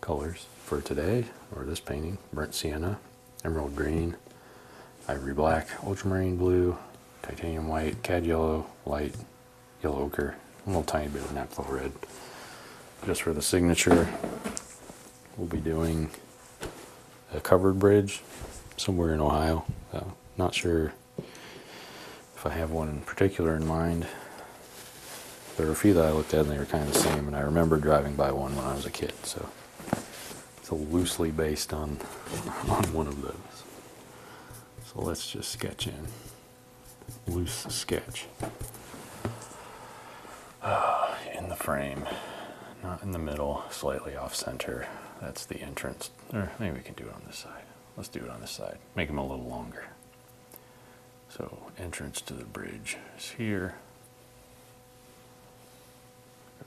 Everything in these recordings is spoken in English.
colors for today or this painting burnt sienna emerald green ivory black ultramarine blue titanium white cad yellow light yellow ochre a little tiny bit of naphtha red just for the signature, we'll be doing a covered bridge somewhere in Ohio. Uh, not sure if I have one in particular in mind. There were a few that I looked at and they were kind of the same, and I remember driving by one when I was a kid, so it's loosely based on, on one of those. So let's just sketch in loose sketch in the frame, not in the middle, slightly off center. That's the entrance. Or maybe we can do it on this side. Let's do it on this side. Make them a little longer. So entrance to the bridge is here.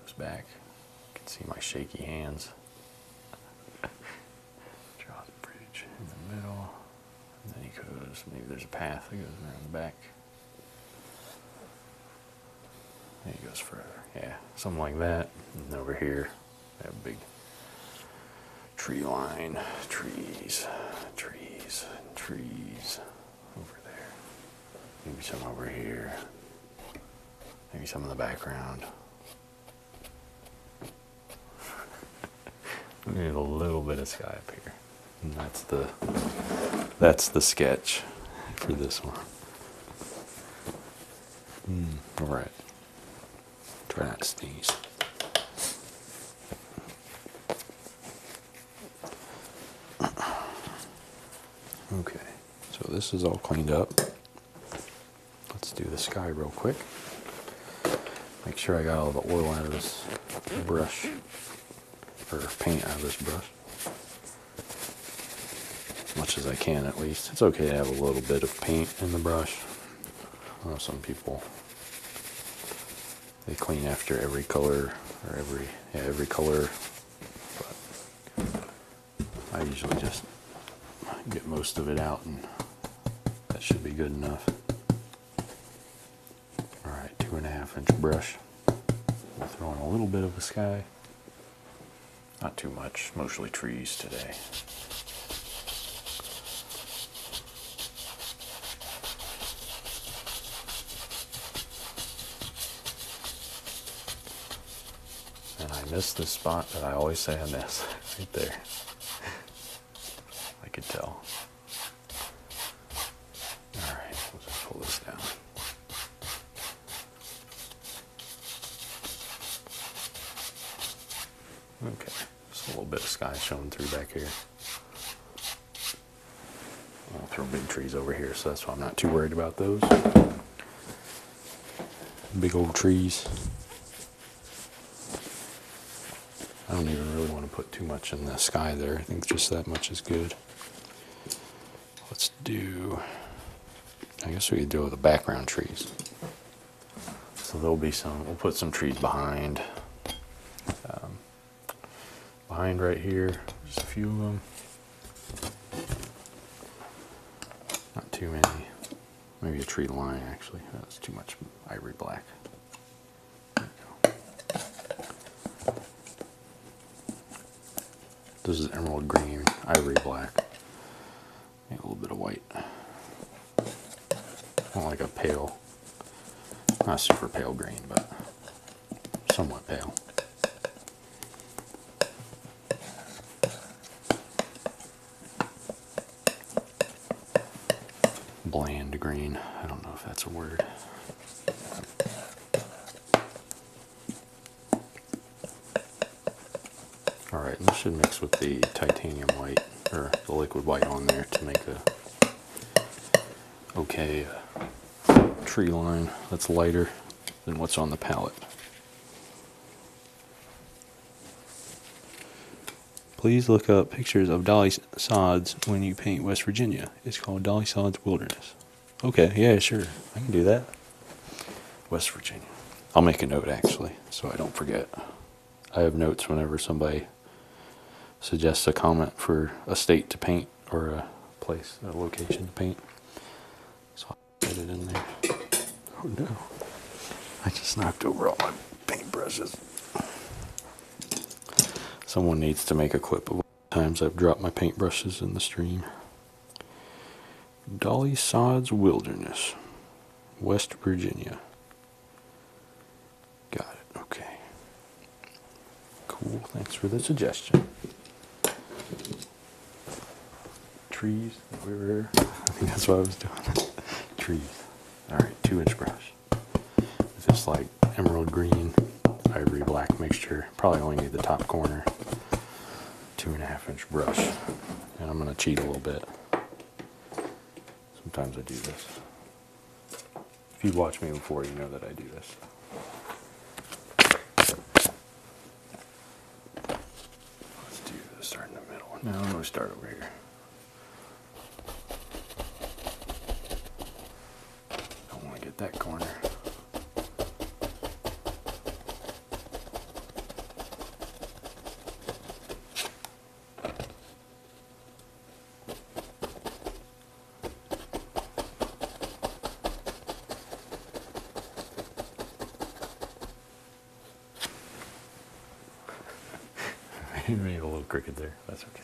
Goes back. You can see my shaky hands. Draw the bridge in the middle. And then he goes, maybe there's a path that goes around the back. And he goes further. Yeah, something like that. And over here, that big tree line. Trees, trees, trees. Over there. Maybe some over here. Maybe some in the background need a little bit of sky up here. And that's the that's the sketch for this one. Hmm, all right. Try not to sneeze. Okay, so this is all cleaned up. Let's do the sky real quick. Make sure I got all the oil out of this brush or paint out of this brush. As much as I can at least. It's okay to have a little bit of paint in the brush. some people they clean after every color or every every color but I usually just get most of it out and that should be good enough. All right, two and a half inch brush. We'll throw in a little bit of the sky. Not too much, mostly trees today. And I miss this spot that I always say I miss, right there. I could tell. Alright, right, let's pull this down. Okay, just a little bit of sky showing through back here. I'll throw big trees over here, so that's why I'm not too worried about those. Big old trees. I don't even really want to put too much in the sky there. I think just that much is good. Let's do, I guess we could do with the background trees. So there'll be some, we'll put some trees behind. Um, behind right here, just a few of them. Not too many. Maybe a tree line actually. That's too much ivory black. This is emerald green, ivory black, and a little bit of white. Not like a pale, not super pale green, but somewhat pale bland green. I don't know if that's a word. Alright, this should mix with the titanium white, or the liquid white on there to make a okay uh, tree line that's lighter than what's on the palette. Please look up pictures of dolly sods when you paint West Virginia. It's called Dolly Sods Wilderness. Okay, yeah, sure. I can do that. West Virginia. I'll make a note actually so I don't forget. I have notes whenever somebody suggests a comment for a state to paint or a place, a location to paint. So I'll put it in there. Oh no. I just knocked over all my paintbrushes. Someone needs to make a clip of times I've dropped my paintbrushes in the stream. Dolly Sod's Wilderness, West Virginia. Got it, okay. Cool, thanks for the suggestion. Trees, we were, I think that's what I was doing. Trees. Alright, two inch brush. It's like emerald green, ivory black mixture. Probably only need the top corner, two and a half inch brush. And I'm gonna cheat a little bit. Sometimes I do this. If you watch me before, you know that I do this. Let's do this, start in the middle. No, I'm start over here. I want to get that corner. I made a little cricket there. That's okay.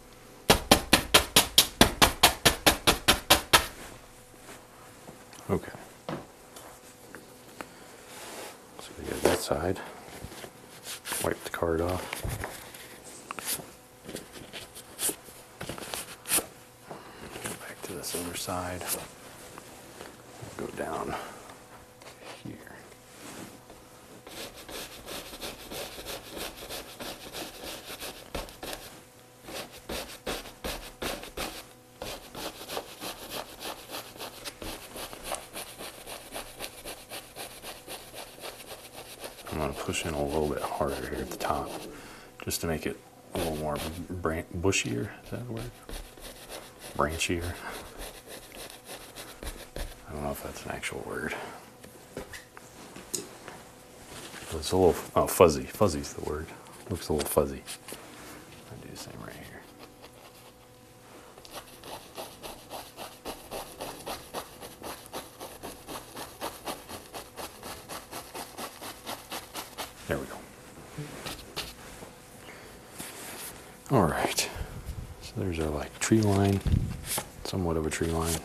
Okay. So we got that side. Wipe the card off. Go back to this other side. Go down here. I'm going to push in a little bit harder here at the top just to make it a little more bran bushier, is that word? Branchier. I don't know if that's an actual word. It's a little oh, fuzzy. Fuzzy's the word. Looks a little fuzzy. do the same right here. There we go. All right. So there's our like tree line, somewhat of a tree line.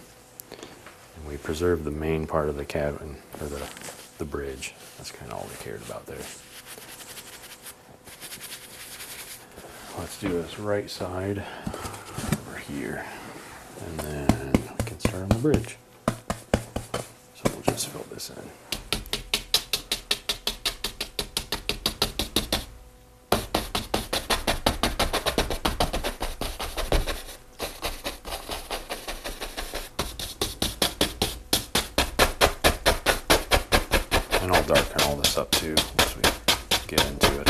And we preserved the main part of the cabin, or the, the bridge. That's kind of all we cared about there. Let's do this right side over here. And then we can start on the bridge. So we'll just fill this in. And I'll darken all this up too once we get into it.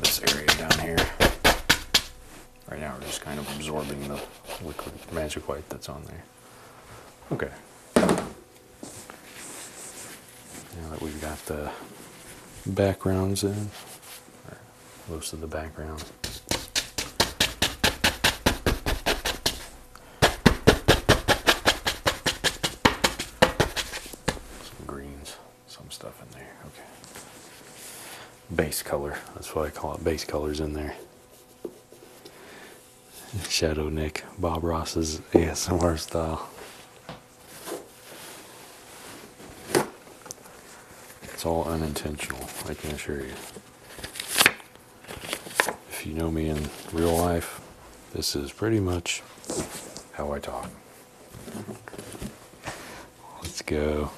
This area down here. Right now we're just kind of absorbing the liquid magic white that's on there. Okay. Now that we've got the backgrounds in, most of the background. Some greens, some stuff in there, okay. Base color, that's why I call it base colors in there. Shadow Nick, Bob Ross's ASMR style. It's all unintentional, I can assure you. If you know me in real life, this is pretty much how I talk. Let's go.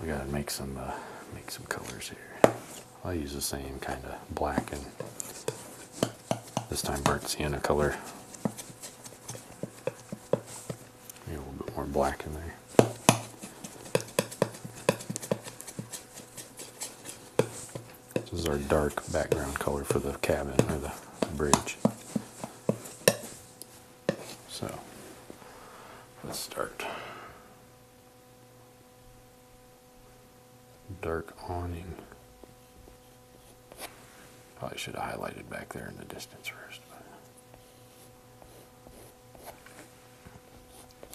We gotta make some uh, make some colors here. I'll use the same kind of black and this time burnt sienna color a little bit more black in there. This is our dark background color for the cabin or the bridge. So let's start. Dark awning. Probably should have highlighted back there in the distance first.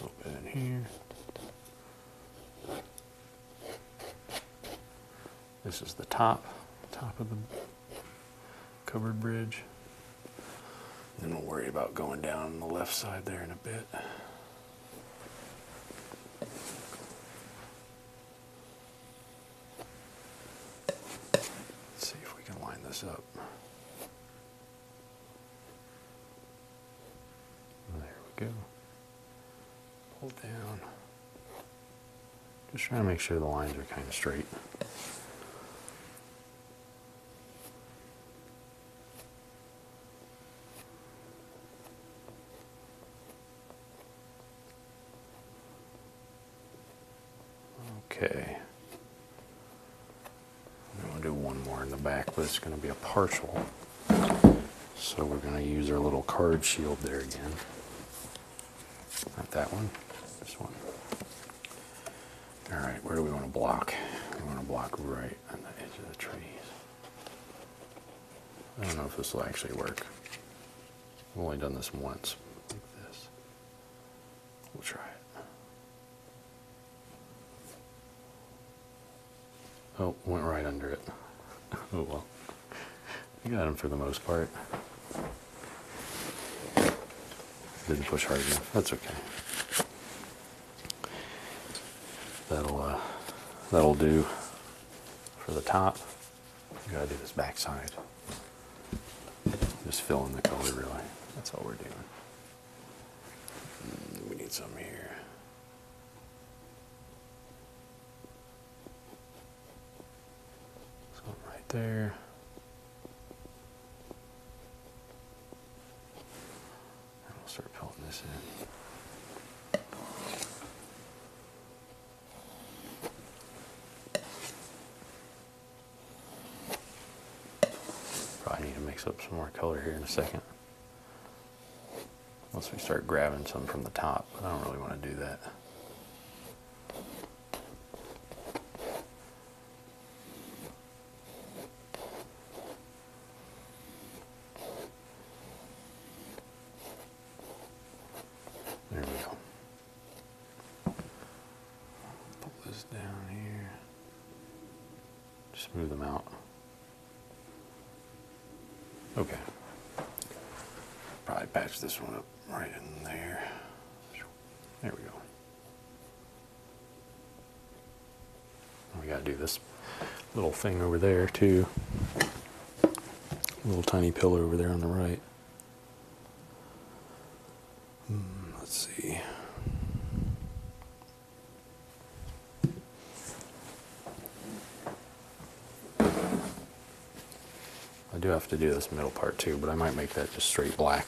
A little bit in here. This is the top, top of the covered bridge. Then we'll worry about going down the left side there in a bit. Let's see if we can line this up. There we go. Pull down. Just trying to make sure the lines are kind of straight. Okay. I'm going to do one more in the back, but it's going to be a partial. So we're going to use our little card shield there again. Not that one, this one. All right, where do we want to block? We want to block right on the edge of the trees. I don't know if this will actually work. I've only done this once, this. We'll try it. Oh, went right under it. oh well. I got him for the most part. Didn't push hard enough. That's okay. That'll uh, that'll do for the top gotta do this backside. Just fill in the color really. That's all we're doing. Mm, we need some here. Some right there. And we'll start pelting this in. Probably need to mix up some more color here in a second. Once we start grabbing some from the top, I don't really want to do that. There we go. Put this down here. Just move them out. Okay. Probably patch this one up right in there. There we go. We gotta do this little thing over there too. Little tiny pillar over there on the right. Hmm, let's see. I do have to do this middle part too, but I might make that just straight black.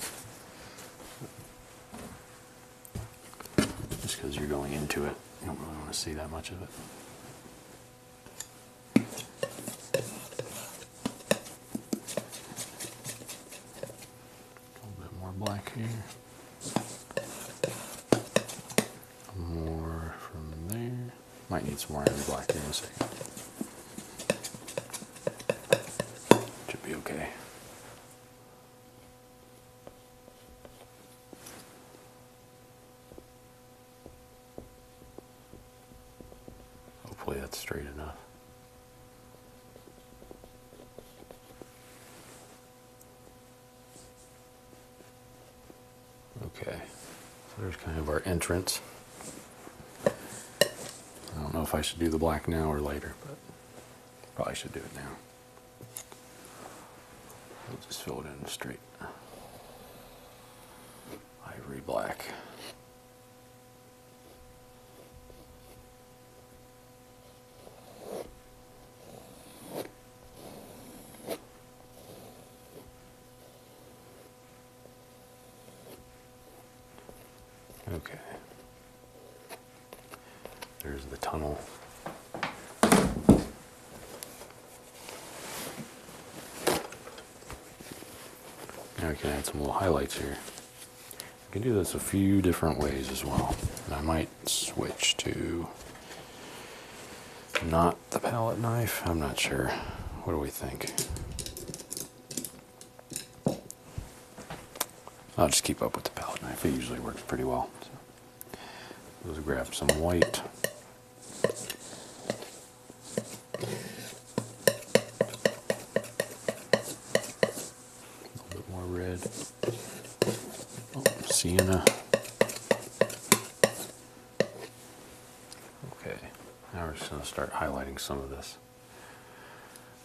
Just because you're going into it, you don't really want to see that much of it little bit more black here. More from there. Might need some more iron black in a second. Should be okay. Hopefully that's straight enough. Okay, so there's kind of our entrance. I don't know if I should do the black now or later, but probably should do it now. just fill it in straight ivory black. Okay. There's the tunnel. Now we can add some little highlights here. I can do this a few different ways as well. I might switch to not the palette knife. I'm not sure. What do we think? I'll just keep up with the palette knife. It usually works pretty well. Let's grab some white. A little bit more red. Oh, sienna. Okay, now we're just going to start highlighting some of this.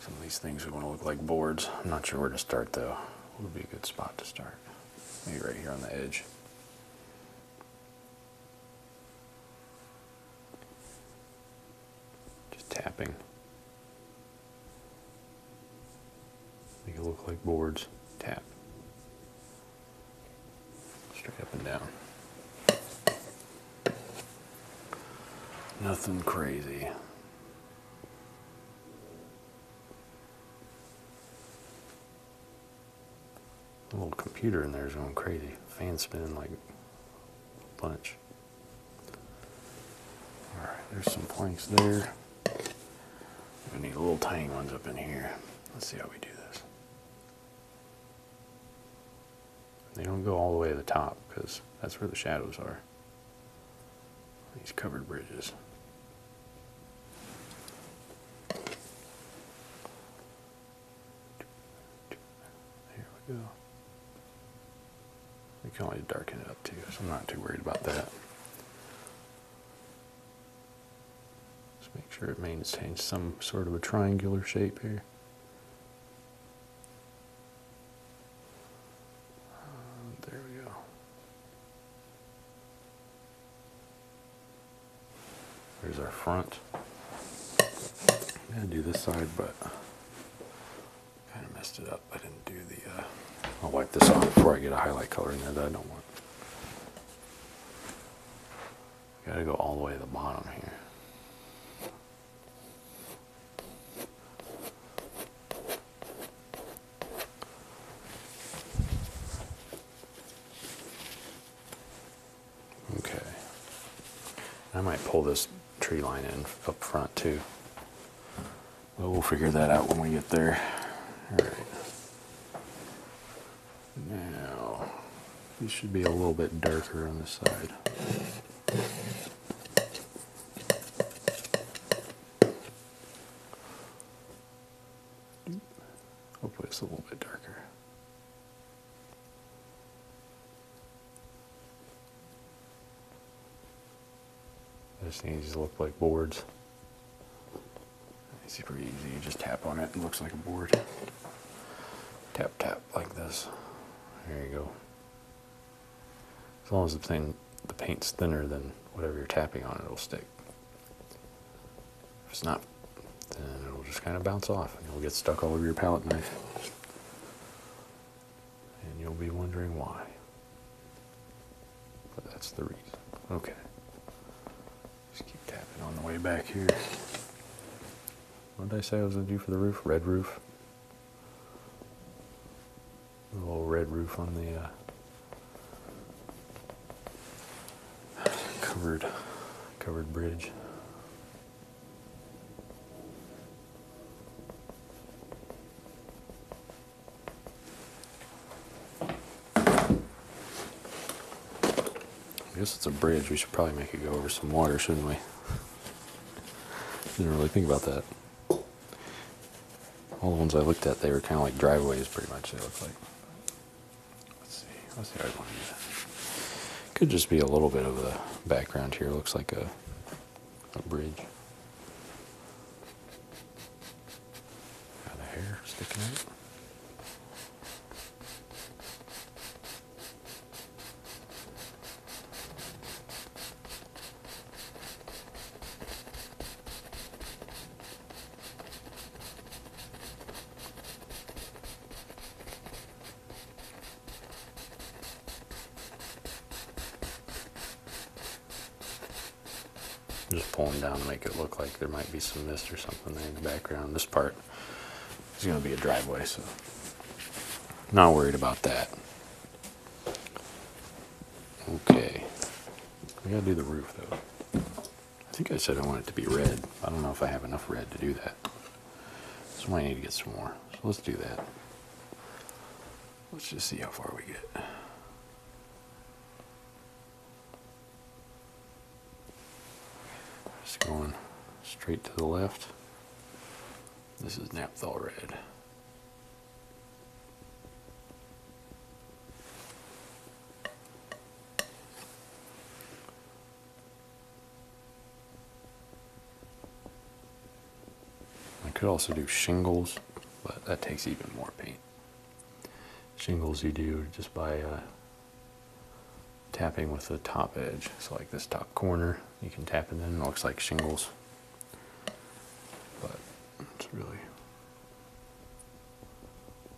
Some of these things are going to look like boards. I'm not sure where to start though. would be a good spot to start? Maybe right here on the edge. Just tapping. Make it look like boards. Tap. Straight up and down. Nothing crazy. The little computer in there is going crazy. Fan spinning like bunch. Alright, there's some planks there. We need little tiny ones up in here. Let's see how we do this. They don't go all the way to the top because that's where the shadows are. These covered bridges. Here we go. We can always darken it up too, so I'm not too worried about that. Just make sure it maintains some sort of a triangular shape here. there we go. There's our front. I'm gonna do this side, but kind of messed it up. I didn't do the, uh, I'll wipe this off before I get a highlight color in there that I don't want. Gotta go all the way to the bottom here. Okay. I might pull this tree line in up front too. we'll figure that out when we get there. All right. Now, these should be a little bit darker on this side. Hopefully it's a little bit darker. This these look like boards. It's super easy, you just tap on it, it looks like a board. Tap, tap, like this. There you go. As long as the thing, the paint's thinner than whatever you're tapping on, it'll stick. If it's not, then uh, it'll just kind of bounce off and it'll get stuck all over your palette knife. And you'll be wondering why. But that's the reason. Okay. Just keep tapping on the way back here. What did I say I was going to do for the roof? Red roof. A little red roof on the uh, covered covered bridge. I guess it's a bridge. We should probably make it go over some water, shouldn't we? Didn't really think about that. All the ones I looked at, they were kind of like driveways, pretty much. They look like. Let's see. What's the other one? Could just be a little bit of a background here. Looks like a a bridge. Got the hair sticking out. Just pull them down to make it look like there might be some mist or something there in the background. This part is going to be a driveway, so not worried about that. Okay. We gotta do the roof though. I think I said I want it to be red. I don't know if I have enough red to do that. So I need to get some more. So let's do that. Let's just see how far we get. Just going straight to the left. This is Naphthol Red. I could also do shingles, but that takes even more paint. Shingles you do just by uh, tapping with the top edge. So like this top corner, you can tap it in, it looks like shingles. But it's really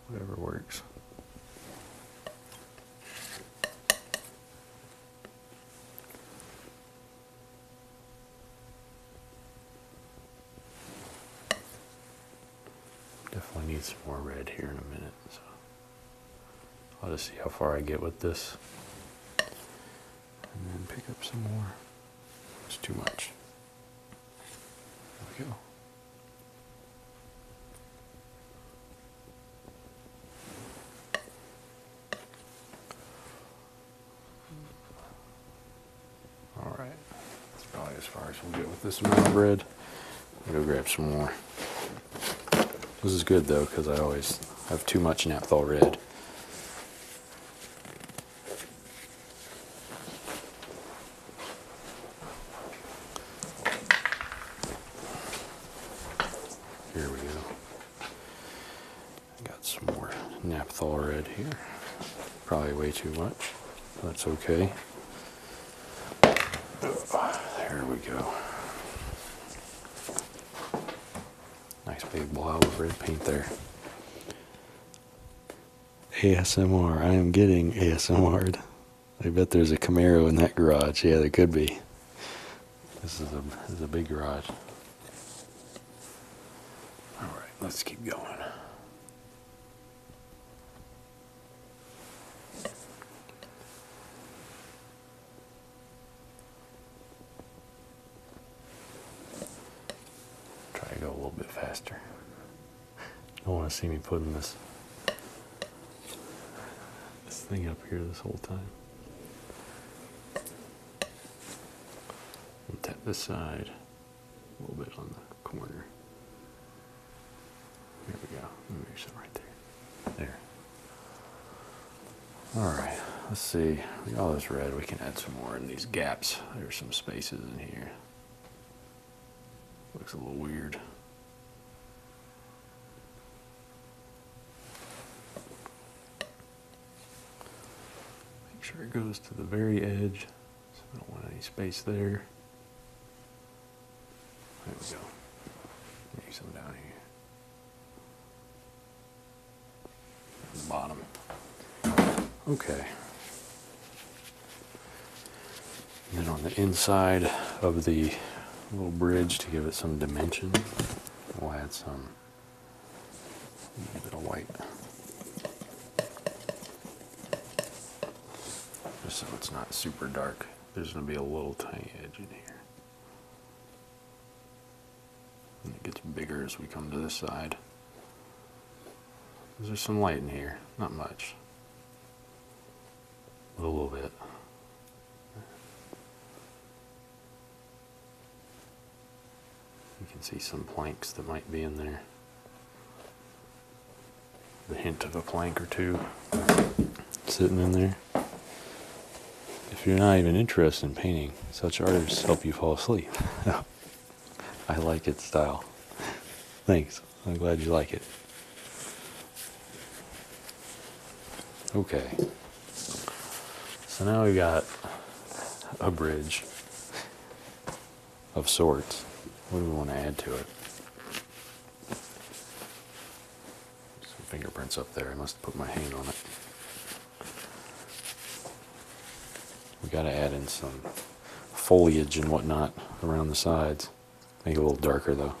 whatever works. Definitely need some more red here in a minute. So I'll just see how far I get with this. And then pick up some more. It's too much. There we go. All right, that's probably as far as we'll get with this amount of bread. will go grab some more. This is good though, because I always have too much naphthol red. Here we go. Got some more naphthol red here. Probably way too much. That's okay. There we go. Nice big blob of red paint there. ASMR. I am getting asmr I bet there's a Camaro in that garage. Yeah, there could be. This is a, this is a big garage. All right, let's keep going. Try to go a little bit faster. Don't want to see me putting this this thing up here this whole time. And tap this side a little bit on the corner. There we go. Make sure right there. There. All right. Let's see. We got all this red. We can add some more in these gaps. There's some spaces in here. Looks a little weird. Make sure it goes to the very edge, so I don't want any space there. There we go. Maybe some down here. bottom. Okay then on the inside of the little bridge to give it some dimension, we'll add some a bit of white. Just so it's not super dark. There's going to be a little tiny edge in here. And it gets bigger as we come to this side. There's some light in here? Not much a little bit. You can see some planks that might be in there. The hint of a plank or two sitting in there. If you're not even interested in painting, such artists help you fall asleep. I like its style. Thanks. I'm glad you like it. Okay. So now we've got a bridge of sorts. What do we want to add to it? Some fingerprints up there. I must have put my hand on it. We got to add in some foliage and whatnot around the sides. Make it a little darker though.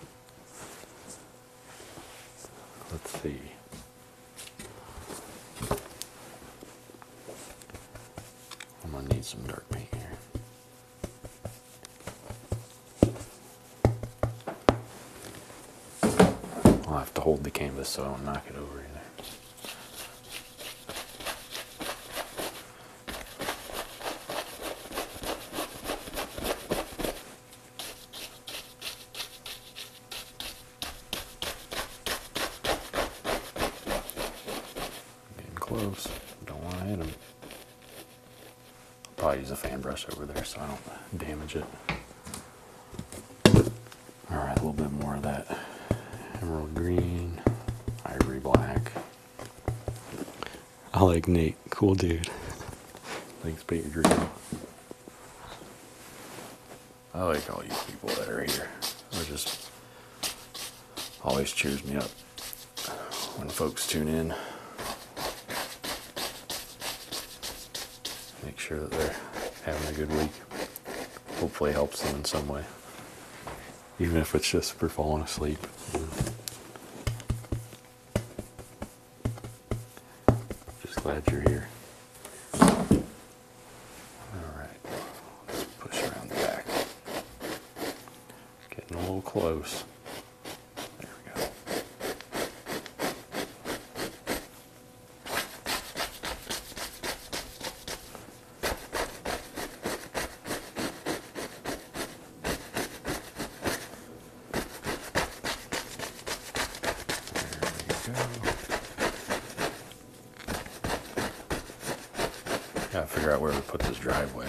Let's see. I'm gonna need some dark paint here. I'll have to hold the canvas so I don't knock it over either. Getting close. Don't want to hit them. I'll probably use a fan brush over there so I don't damage it. Alright, a little bit more of that emerald green, ivory black. I like Nate. Cool dude. Thanks, Peter Grill. I like all you people that are here. It just always cheers me up when folks tune in. Make sure that they're having a good week. Hopefully helps them in some way. Even if it's just for falling asleep. Just glad you're here. All right, let's push around the back. Getting a little close. There we go. Gotta figure out where we put this driveway.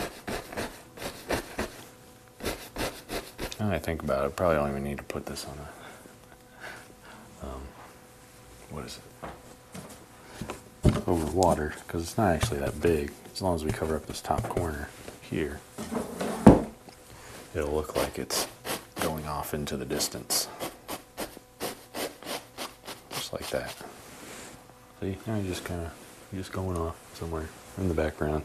Now I think about it, probably don't even need to put this on a, um, what is it? Over water, because it's not actually that big, as long as we cover up this top corner here it'll look like it's going off into the distance. Just like that. See, now you are just kind of, just going off somewhere in the background.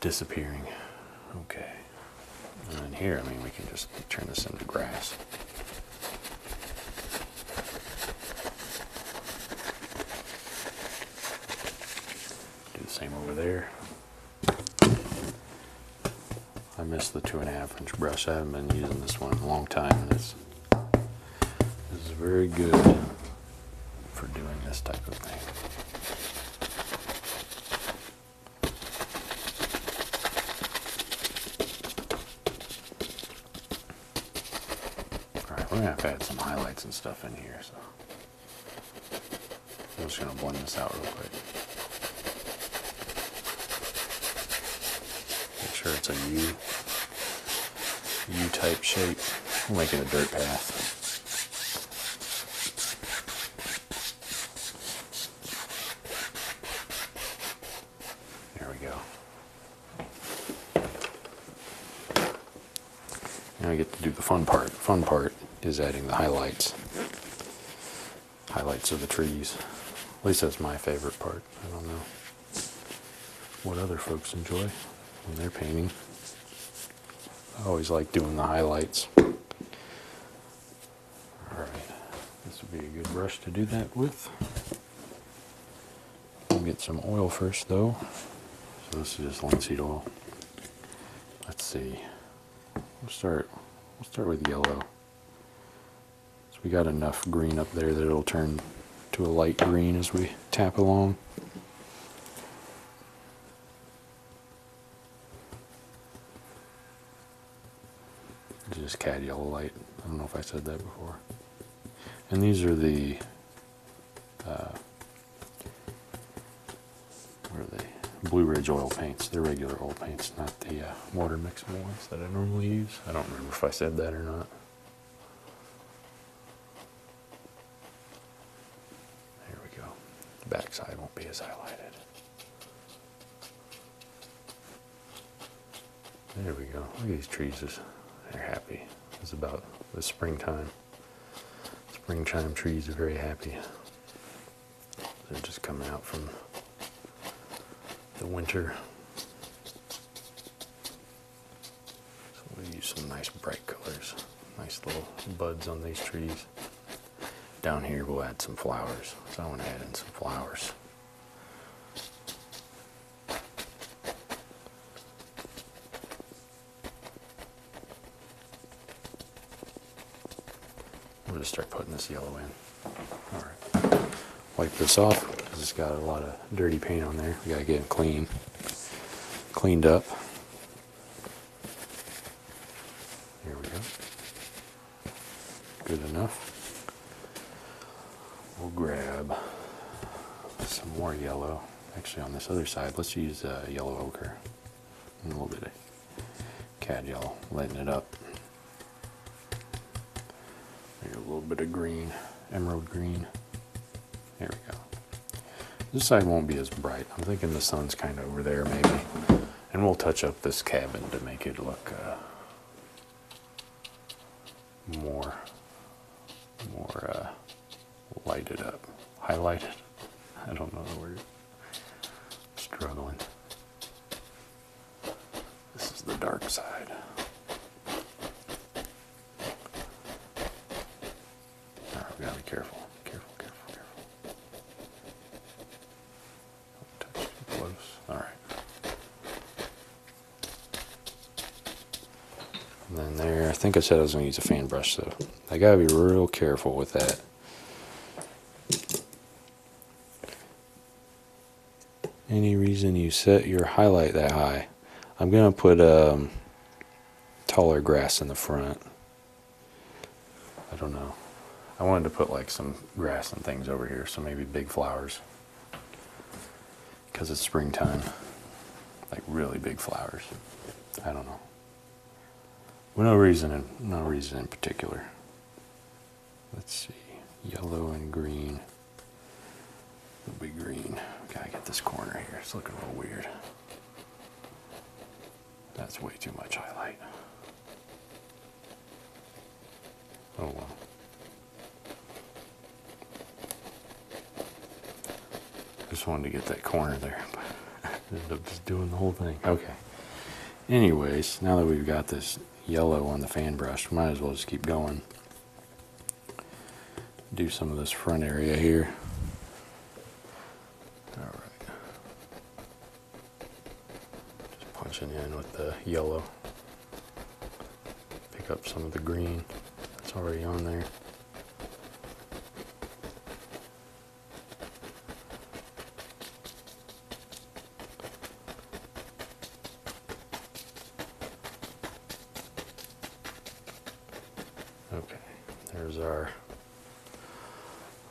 Disappearing. Okay. And here, I mean, we can just turn this into grass. Do the same over there. I missed the two and a half inch brush. I haven't been using this one in a long time. And it's, this very good for doing this type of thing. Alright, we're going to have to add some highlights and stuff in here. So I'm just going to blend this out real quick. Make sure it's a U, U type shape. I'm making a dirt path. There we go. Now I get to do the fun part. fun part is adding the highlights. Highlights of the trees. At least that's my favorite part. I don't know what other folks enjoy when they're painting. I always like doing the highlights. Alright, this would be a good brush to do that with. We'll get some oil first though. So this is just linseed oil. Let's see. We'll start we'll start with yellow. So we got enough green up there that it'll turn to a light green as we tap along. Just cad yellow light. I don't know if I said that before. And these are the uh, what Blue Ridge oil paints. They're regular oil paints, not the uh, water mixable ones that I normally use. I don't remember if I said that or not. There we go. The backside won't be as highlighted. There we go. Look at these trees. They're happy. It's about the springtime. Springtime trees are very happy. They're just coming out from the winter. So we'll use some nice bright colors. Nice little buds on these trees. Down here we'll add some flowers. So I want to add in some flowers. I'm gonna start putting this yellow in. All right. Wipe this off because it's got a lot of dirty paint on there. We gotta get it clean, cleaned up. Here we go. Good enough. We'll grab some more yellow. Actually, on this other side, let's use uh, yellow ochre a little bit of cad yellow, lighten it up. a little bit of green, emerald green. There we go. This side won't be as bright. I'm thinking the sun's kind of over there, maybe. And we'll touch up this cabin to make it look uh, more, more uh, lighted up, highlighted. I don't know the word. Struggling. This is the dark side. All right, we gotta be careful. Careful, careful, careful. Don't touch too close. All right. And then there, I think I said I was going to use a fan brush, so I got to be real careful with that. Any reason you set your highlight that high? I'm going to put um, taller grass in the front. I don't know. I wanted to put like some grass and things over here, so maybe big flowers because it's springtime. Like really big flowers. I don't know. no reason, in, no reason in particular. Let's see, yellow and green. It'll be green. Gotta get this corner here. It's looking a little weird. That's way too much highlight. Oh well. Just wanted to get that corner there, but I ended up just doing the whole thing. Okay. Anyways, now that we've got this yellow on the fan brush, might as well just keep going. Do some of this front area here. Alright. Just punching in with the yellow pick up some of the green that's already on there. Okay, there's our,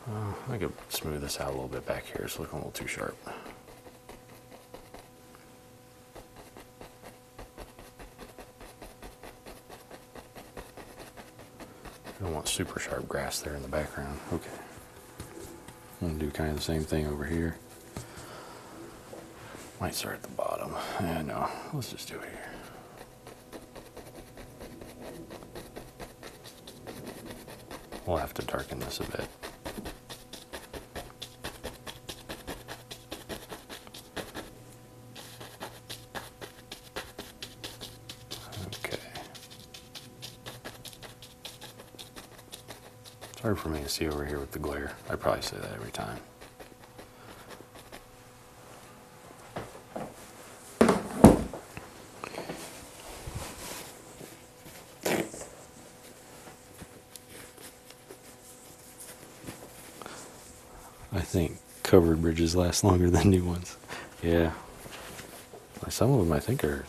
uh, I could smooth this out a little bit back here. It's looking a little too sharp. I don't want super sharp grass there in the background. Okay. I'm going to do kind of the same thing over here. Might start at the bottom. I know. Let's just do it here. We'll have to darken this a bit. Okay. It's hard for me to see over here with the glare. I probably say that every time. I think covered bridges last longer than new ones. Yeah. Some of them I think are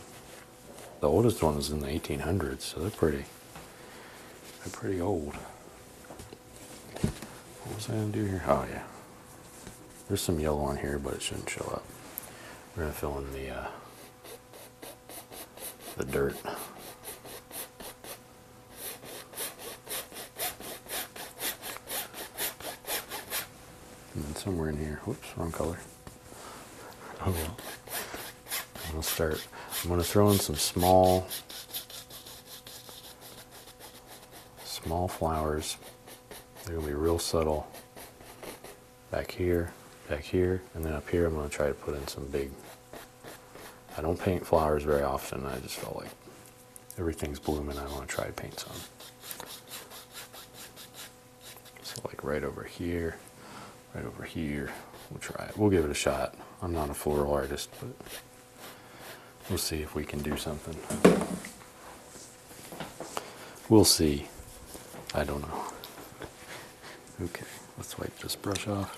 the oldest ones in the 1800s, so they're pretty they're pretty old. What was I gonna do here? Oh yeah. There's some yellow on here, but it shouldn't show up. We're gonna fill in the uh, the dirt. And then somewhere in here, whoops, wrong color. Oh I'm gonna start, I'm gonna throw in some small, small flowers. They're gonna be real subtle. Back here, back here, and then up here I'm gonna try to put in some big I don't paint flowers very often. I just felt like everything's blooming. I want to try to paint some. So like right over here, right over here. We'll try it. We'll give it a shot. I'm not a floral artist, but we'll see if we can do something. We'll see. I don't know. Okay, let's wipe this brush off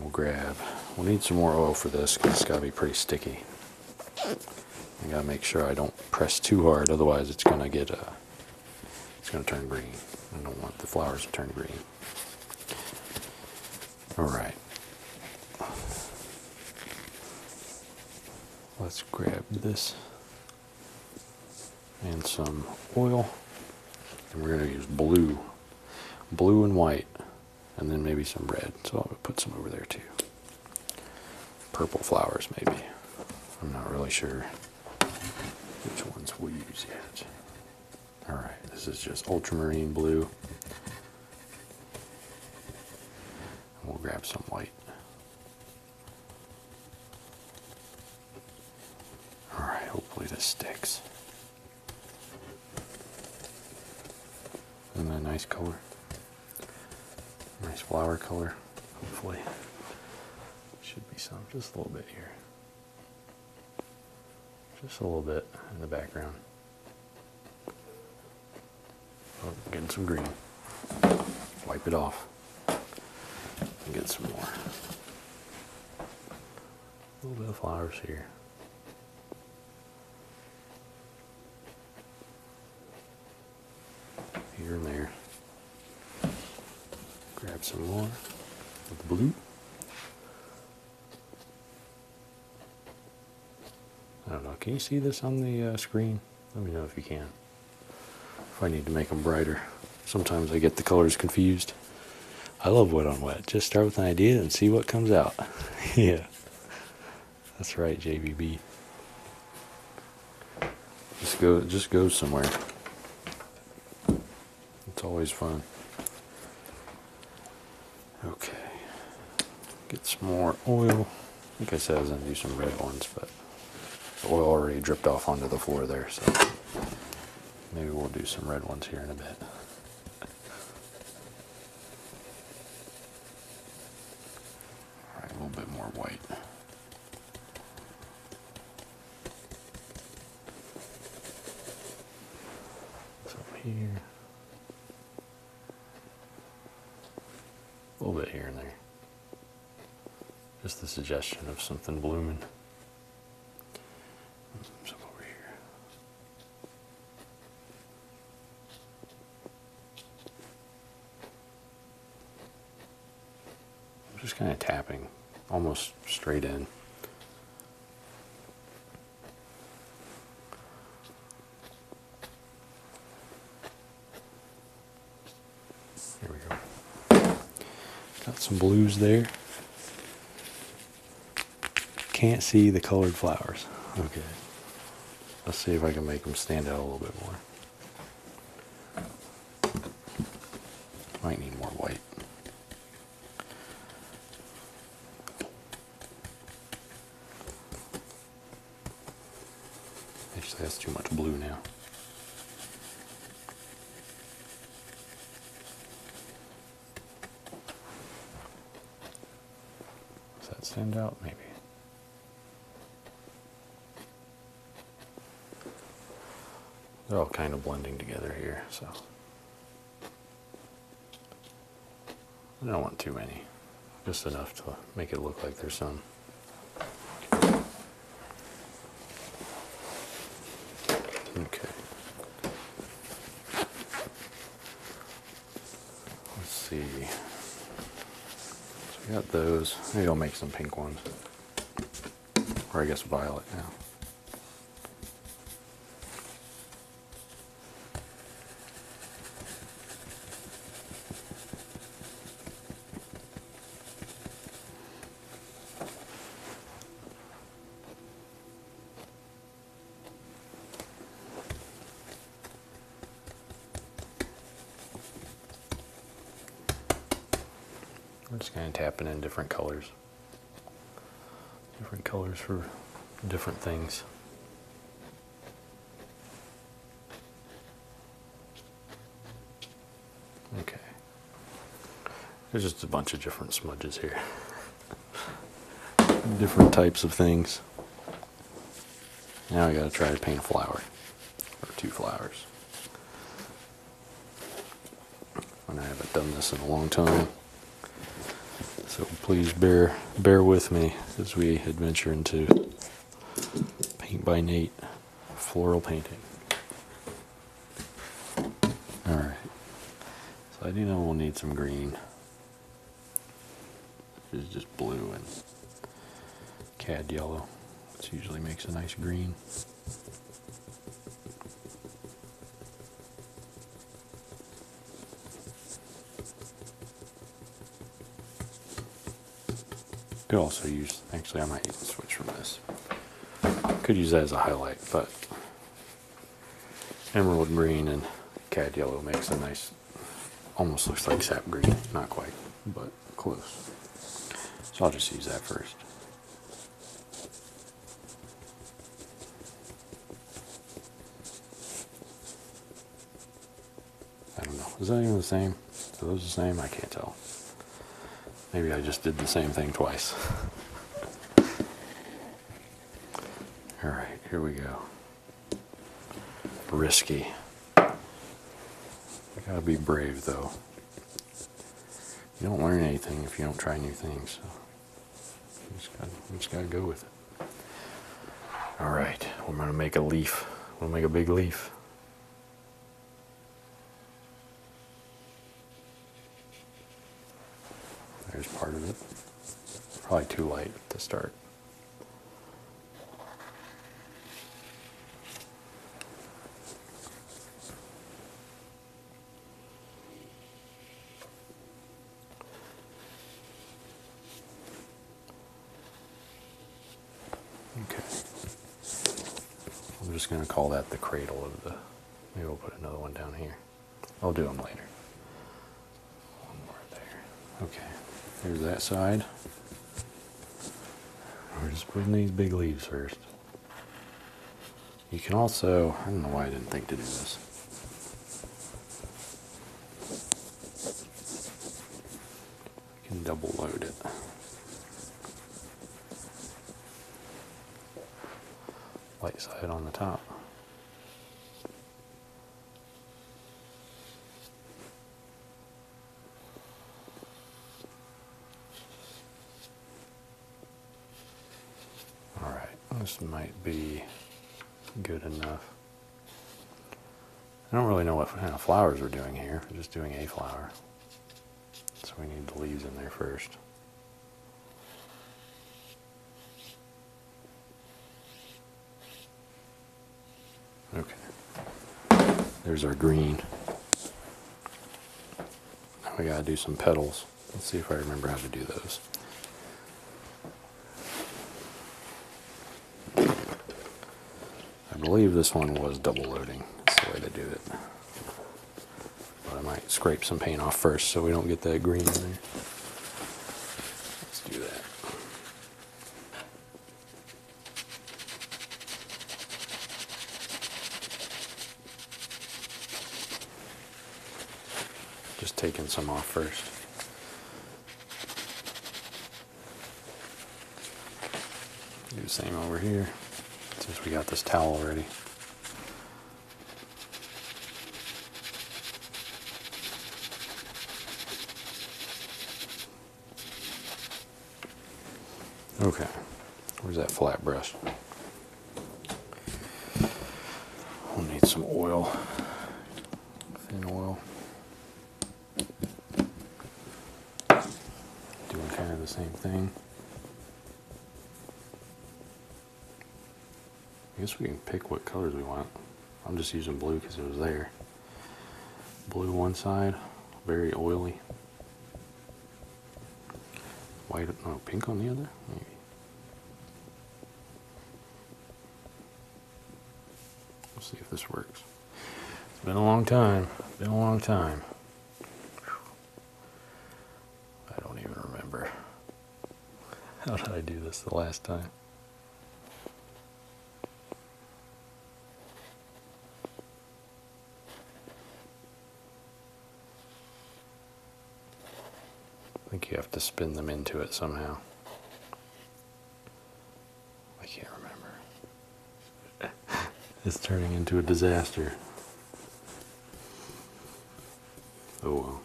we'll grab, we'll need some more oil for this because it's got to be pretty sticky. I gotta make sure I don't press too hard, otherwise it's gonna get, uh, it's gonna turn green. I don't want the flowers to turn green. All right. Let's grab this and some oil. And we're going to use blue, blue and white, and then maybe some red. So I'll put some over there too. Purple flowers maybe. I'm not really sure which ones we use yet. All right, this is just ultramarine blue. we'll grab some white. Alright, hopefully this sticks. And that a nice color? Nice flower color. Hopefully, should be some, just a little bit here. Just a little bit in the background. Oh, getting some green. Wipe it off and get some more. A little bit of flowers here. Here and there. Grab some more of the blue. I don't know. Can you see this on the uh, screen? Let me know if you can if I need to make them brighter. Sometimes I get the colors confused. I love wet on wet. Just start with an idea and see what comes out. yeah. That's right, JVB. Just go just go somewhere. It's always fun. Okay. Get some more oil. Like I said, I was going to do some red ones, but oil already dripped off onto the floor there, so maybe we'll do some red ones here in a bit. All right, a little bit more white. So here. A little bit here and there. Just the suggestion of something blooming. Something over here. just kind of tapping almost straight in. There we go. Got some blues there. Can't see the colored flowers. Okay. Let's see if I can make them stand out a little bit more. Might need more white. Actually, that's too much blue now. Does that stand out? Maybe. They're all kind of blending together here, so. I don't want too many, just enough to make it look like there's some. Okay. Let's see. So we got those. Maybe I'll make some pink ones. Or I guess violet now. We're just kind of tapping in different colors. Different colors for different things. Okay. There's just a bunch of different smudges here. different types of things. Now I gotta try to paint a flower. Or two flowers. And I haven't done this in a long time. So please bear bear with me as we adventure into paint by Nate floral painting. Alright, so I do know we'll need some green, This is just blue and cad yellow, which usually makes a nice green. Could also use, actually I might even switch from this. Could use that as a highlight, but emerald green and cad yellow makes a nice, almost looks like sap green. Not quite, but close. So I'll just use that first. I don't know. Is that even the same? Are those the same? I can't tell. Maybe I just did the same thing twice. All right, here we go. Risky. I gotta be brave though. You don't learn anything if you don't try new things. So you just gotta, just gotta go with it. All right, we're gonna make a leaf. We'll make a big leaf. There's part of it. probably too light to start. Okay. I'm just going to call that the cradle of the. Maybe we'll put another one down here. I'll do them later. One more there. Okay. There's that side. We're just putting these big leaves first. You can also, I don't know why I didn't think to do this. I can double load it. Light side on the top. Alright, this might be good enough. I don't really know what kind of flowers we're doing here. We're just doing a flower. So we need the leaves in there first. Okay. There's our green. we gotta do some petals. Let's see if I remember how to do those. I believe this one was double loading. That's the way they do it. But I might scrape some paint off first so we don't get that green in there. Let's do that. Just taking some off first. Do the same over here, since we got this towel ready, Okay, where's that flat brush? We'll need some oil, thin oil. Doing kind of the same thing. I guess we can pick what colors we want. I'm just using blue because it was there. Blue one side, very oily. White, no, pink on the other, maybe. Let's see if this works. It's been a long time. been a long time. I don't even remember. How did I do this the last time? I think you have to spin them into it somehow. I can't remember. it's turning into a disaster. Oh well,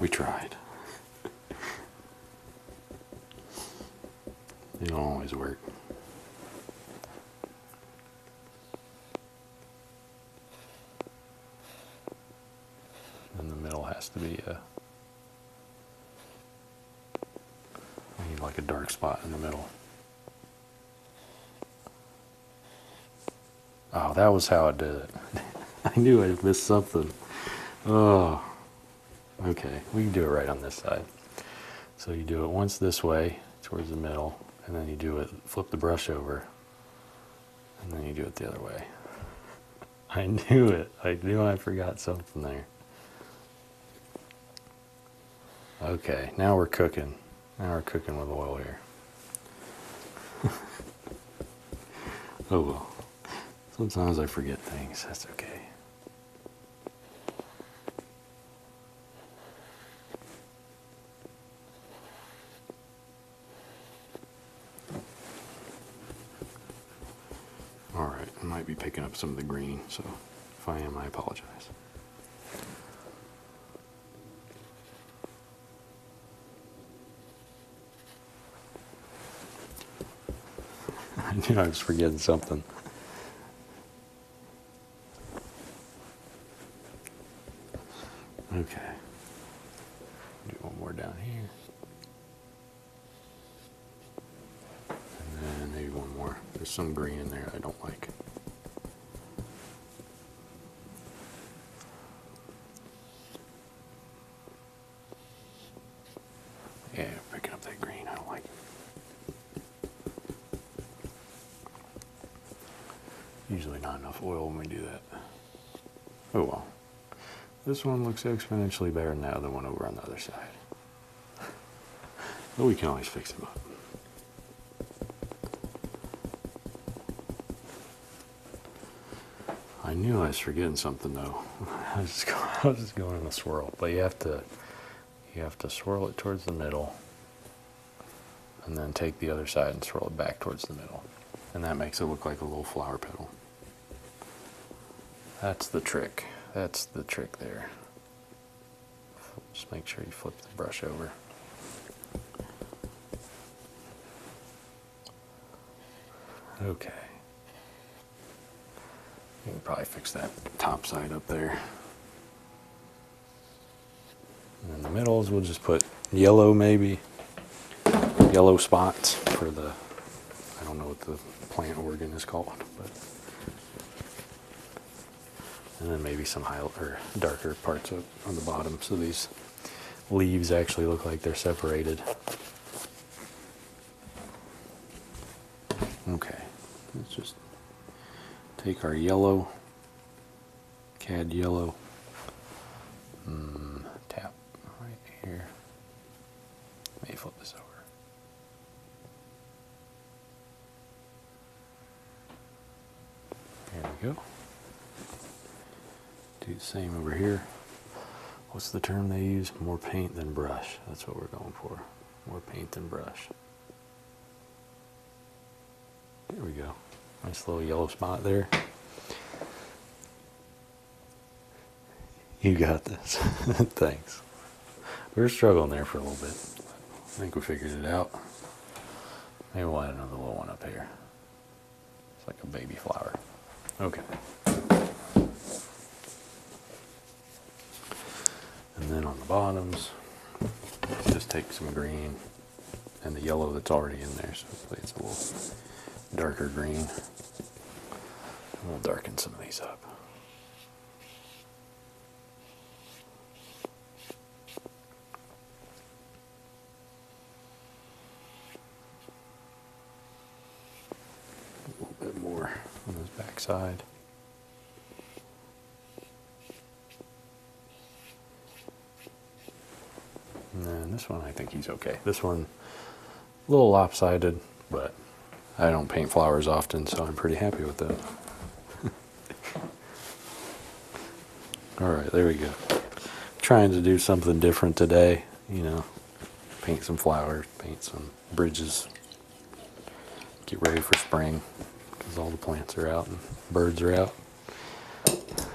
we tried. It don't always work. And the middle has to be uh, I need like a dark spot in the middle. Oh, that was how it did it. I knew I missed something. Oh, okay. We can do it right on this side. So you do it once this way towards the middle, and then you do it, flip the brush over, and then you do it the other way. I knew it. I knew I forgot something there. Okay, now we're cooking. Now we're cooking with oil here. oh well. Sometimes I forget things. That's okay. All right, I might be picking up some of the green, so if I am, I apologize. I knew I was forgetting something. Okay. Do one more down here. And maybe one more. There's some green in there I don't like. Yeah, picking up that green, I don't like Usually not enough oil when we do that. Oh well. This one looks exponentially better than the other one over on the other side. But we can always fix them up. I knew I was forgetting something though. I was, just going, just going in a swirl, but you have to you have to swirl it towards the middle and then take the other side and swirl it back towards the middle. And that makes it look like a little flower petal. That's the trick. That's the trick there. Just make sure you flip the brush over. Okay. You can probably fix that top side up there. In the middles, we'll just put yellow maybe. Yellow spots for the, I don't know what the plant organ is called, but and then maybe some high or darker parts up on the bottom so these leaves actually look like they're separated okay let's just take our yellow cad yellow mm, tap right here let flip this over there we go. Do the same over here. What's the term they use? More paint than brush. That's what we're going for. More paint than brush. There we go. Nice little yellow spot there. You got this. Thanks. We were struggling there for a little bit. I think we figured it out. Maybe we'll add another little one up here. It's like a baby flower. Okay. And then on the bottoms, just take some green and the yellow that's already in there. So hopefully it's a little darker green. we'll darken some of these up. A little bit more on this backside, And this one, I think he's okay. This one, a little lopsided but I don't paint flowers often, so I'm pretty happy with that. All right, there we go. Trying to do something different today, you know, paint some flowers, paint some bridges, get ready for spring because all the plants are out and birds are out.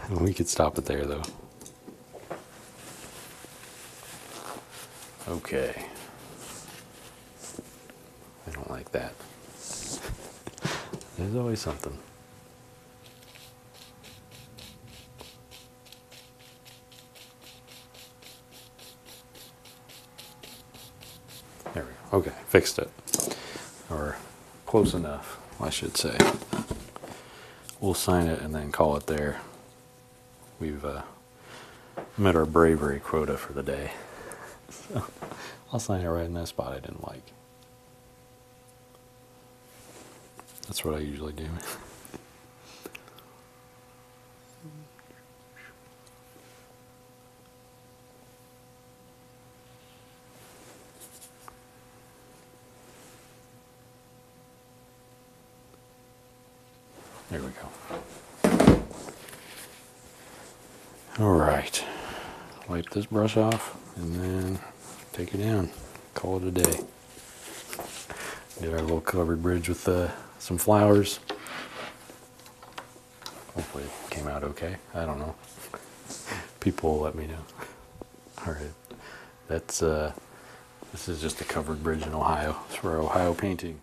And we could stop it there though. Okay. I don't like that. There's always something. There we go. Okay, fixed it. Or close enough, I should say. We'll sign it and then call it there. We've uh, met our bravery quota for the day. So I'll sign it right in that spot I didn't like. That's what I usually do. There we go. All right, wipe this brush off and then take it down. Call it a day. Get our little covered bridge with uh, some flowers. Hopefully it came out okay. I don't know. People let me know. All right, that's uh, this is just a covered bridge in Ohio. It's for Ohio painting.